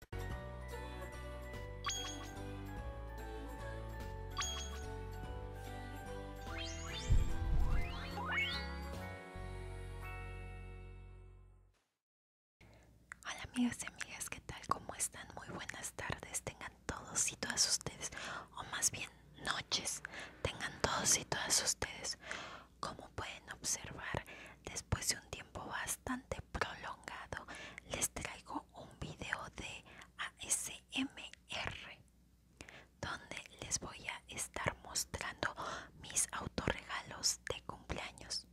Hola amigas y amigas, ¿qué tal? ¿Cómo están? Muy buenas tardes, tengan todos y todas ustedes, o más bien noches, tengan todos y todas ustedes. Como pueden observar, después de un tiempo bastante prolongado les traigo un video de ASMR donde les voy a estar mostrando mis autorregalos de cumpleaños.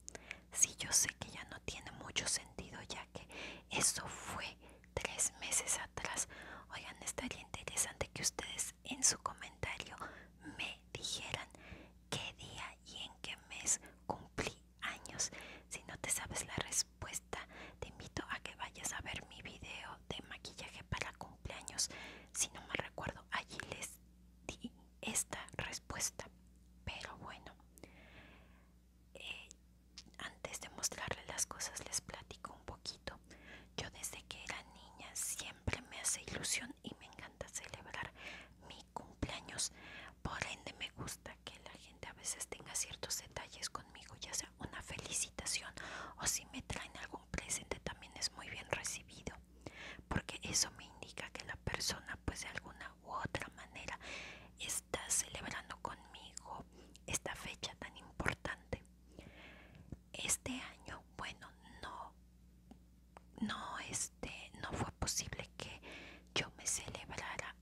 Si yo sé que ya no tiene mucho sentido ya que eso fue tres meses atrás. Oigan, estaría interesante que ustedes en su comentario me dijeran qué día y en qué mes cumplí años. Si no te sabes la respuesta, te invito a que vayas a ver mi video de maquillaje para cumpleaños. Si no me recuerdo, allí les di esta respuesta. Pero bueno, eh, antes de mostrarle las cosas les platico un poquito. Yo desde que era niña siempre me hace ilusión y me encanta celebrar mi cumpleaños. Por ende me gusta que la gente a veces tenga ciertos detalles conmigo, ya sea una felicitación o si me traen algún presente también es muy bien recibido, porque eso me indica que la persona pues de alguna u otra manera está celebrando conmigo esta fecha tan importante. Este año, bueno, no no, este, no fue posible que yo me celebrara,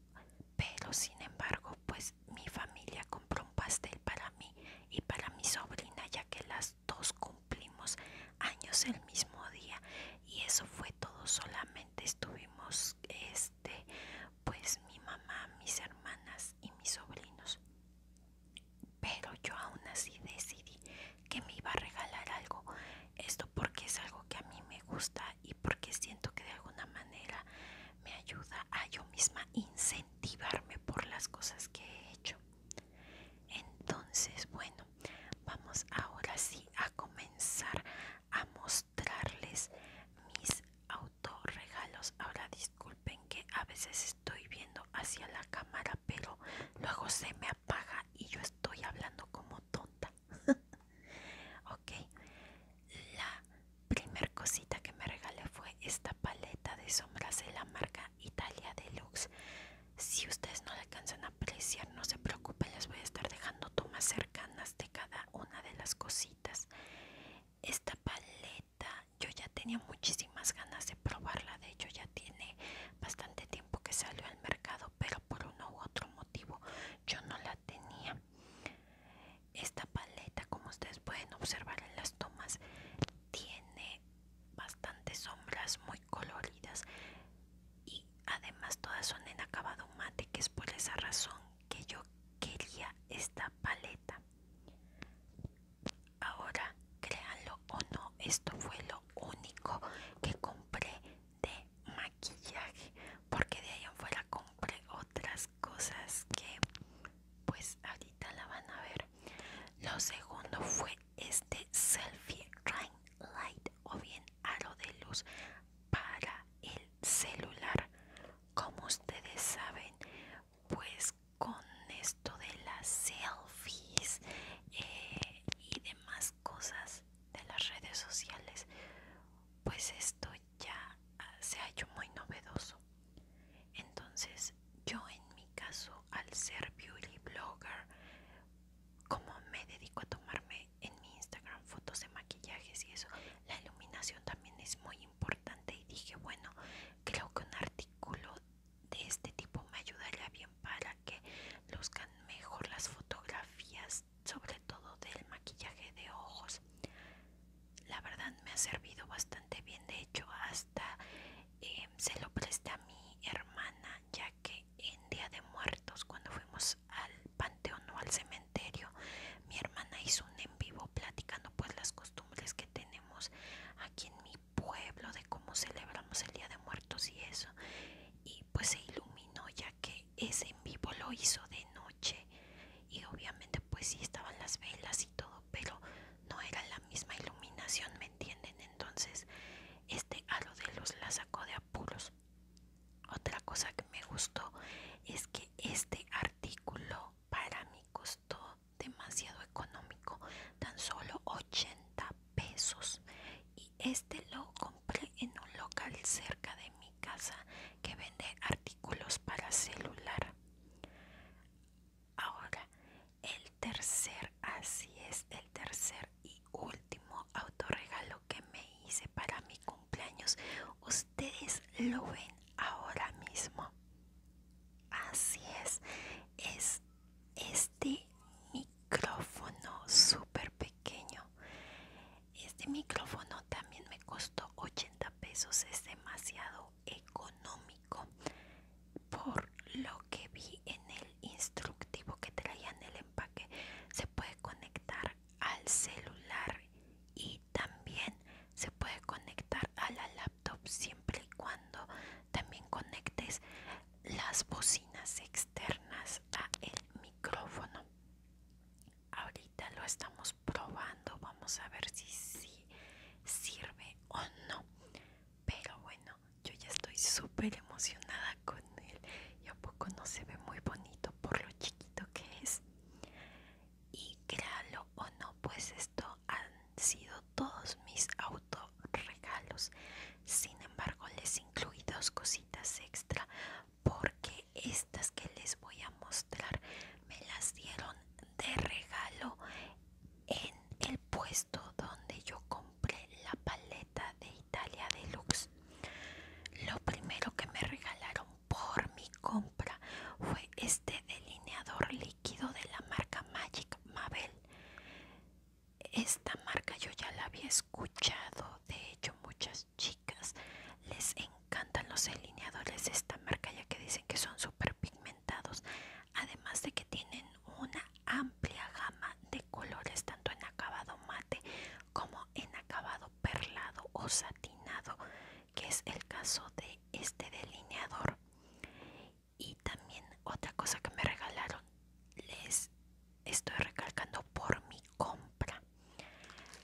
pero sin embargo, pues mi familia compró un pastel para mí y para mi sobrina, ya que las dos cumplimos años el mismo día y eso fue todo, solamente estuvimos, este, pues mi mamá, mis hermanas y mis sobrinos. Pero yo aún así decidí que me iba a regalar algo. Esto porque es algo que a mí me gusta y porque siento que de alguna manera me ayuda a yo misma incentivarme por las cosas que he hecho. Entonces, bueno, vamos ahora sí a comenzar a mostrarles mis autorregalos. Ahora disculpen que a veces estoy viendo hacia la cámara, pero luego se me apaga y yo estoy hablando como tonta. ok, la primer cosita que me regalé fue esta paleta de sombras de la marca Italia Deluxe. Si ustedes no alcanzan a apreciar, no se preocupen, les voy a estar dejando tomas cercanas de cada una de las cositas. Esta paleta yo ya tenía muchísimas ganas de probarla, de hecho ya tiene bastante tiempo que salió al mercado, pero por uno u otro motivo yo no la tenía. Esta paleta, como ustedes pueden observar en las tomas, tiene bastantes sombras muy coloridas y además todas son en acabado mate, que es por esa razón que yo quería esta paleta. Ahora, créanlo o no, esto fue lo único que compré de maquillaje, porque de ahí afuera compré otras cosas que pues ahorita la van a ver. Lo segundo fue este selfie ring light o bien aro de luz para el celular. Como ustedes saben, pues con esto de las selfies eh, y demás cosas de las redes sociales, pues esto ya ah, se ha hecho muy novedoso. Entonces yo en mi caso, al ser beauty blogger, como me dedico a tomarme en mi Instagram fotos de maquillajes y eso, la iluminación también es muy importante y dije, bueno, creo que un artículo de este tipo me ayudaría bien para que luzcan mejor las fotografías, sobre todo del maquillaje de ojos. La verdad me ha servido bastante bien, de hecho hasta em, se lo presté a mi hermana, ya que en Día de Muertos, cuando fuimos al panteón o al cementerio, mi hermana hizo un en vivo platicando pues las costumbres que tenemos aquí en mi pueblo, de cómo celebramos el Día de Muertos y eso. Y pues se iluminó ya que ese en vivo lo hizo de noche. Y obviamente pues sí estaban las velas y todo, pero no era la misma iluminación, ¿me entienden? Entonces este aro de los la sacó de apuros. Otra cosa que me gustó es que este artículo para mí costó demasiado económico, tan solo 80 pesos. Y este lo compré en un local cerca de mi casa que vende artículos para celular. Ahora, el tercer, así es, el tercer y último autorregalo que me hice para mi cumpleaños. Ustedes lo ven ahora mismo. Así es, es este micrófono súper pequeño este micrófono también me costó 80 pesos es demasiado económico por lo que vi en el instructivo que traía en el empaque se puede conectar al celular y también se puede conectar a la siempre y cuando también conectes las bocinas externas a el micrófono ahorita lo estamos probando vamos a ver si sí sirve o no pero bueno yo ya estoy súper emocionada con él y a poco no se ve muy bonito por lo chiquito que es y créalo o no pues esto han sido todos mis regalos sin embargo les incluí dos cositas extra porque estas que les voy a mostrar me las dieron de regalo en el puesto donde yo compré la paleta de Italia Deluxe. Lo primero que me regalaron por mi compra fue este delineador líquido de la marca Magic Mabel. Esta marca yo ya la había escuchado, de hecho muchas chicas les encantan los delineadores de esta marca ya que dicen que son súper pigmentados, además de que tienen una amplia gama de colores tanto en acabado mate como en acabado perlado o satinado que es el caso de este delineador y también otra cosa que me regalaron les estoy recalcando por mi compra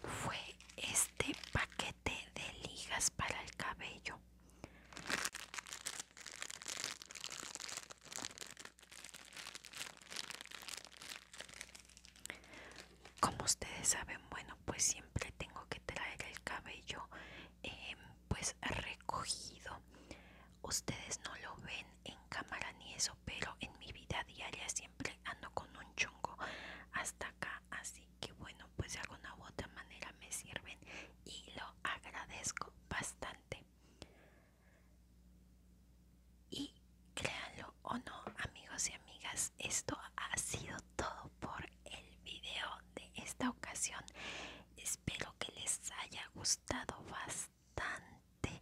fue este paquete de ligas para el cabello como ustedes saben bueno pues siempre tengo que traer el cabello em, pues recogido ustedes no lo ven en cámara ni eso pero en mi vida diaria siempre ando con un chungo hasta acá así que bueno pues de alguna u otra manera me sirven y lo agradezco bastante y créanlo o no amigos y amigas esto ha sido todo por el video de esta ocasión espero que les haya gustado bastante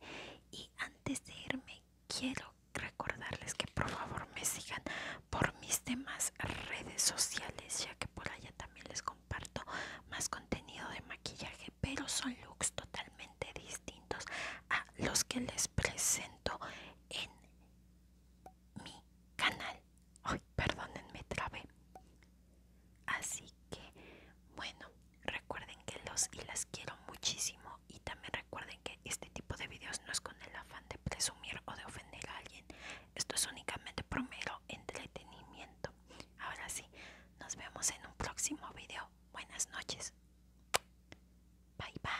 y antes de irme quiero recordarles que por favor me sigan por mis demás redes sociales ya que por allá también les comparto más contenido de maquillaje pero son looks totalmente distintos a los que les presento en mi canal. Ay, perdónenme, trabé. Así que, bueno, recuerden que los y las quiero muchísimo. Y también recuerden que este tipo de videos no es con el afán de presumir o de ofender a alguien. Esto es únicamente por mero entretenimiento. Ahora sí, nos vemos en un próximo video. Buenas noches. Bye bye.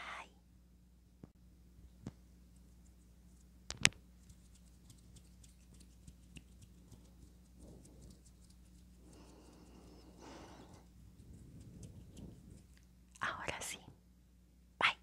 Ahora sí. Bye.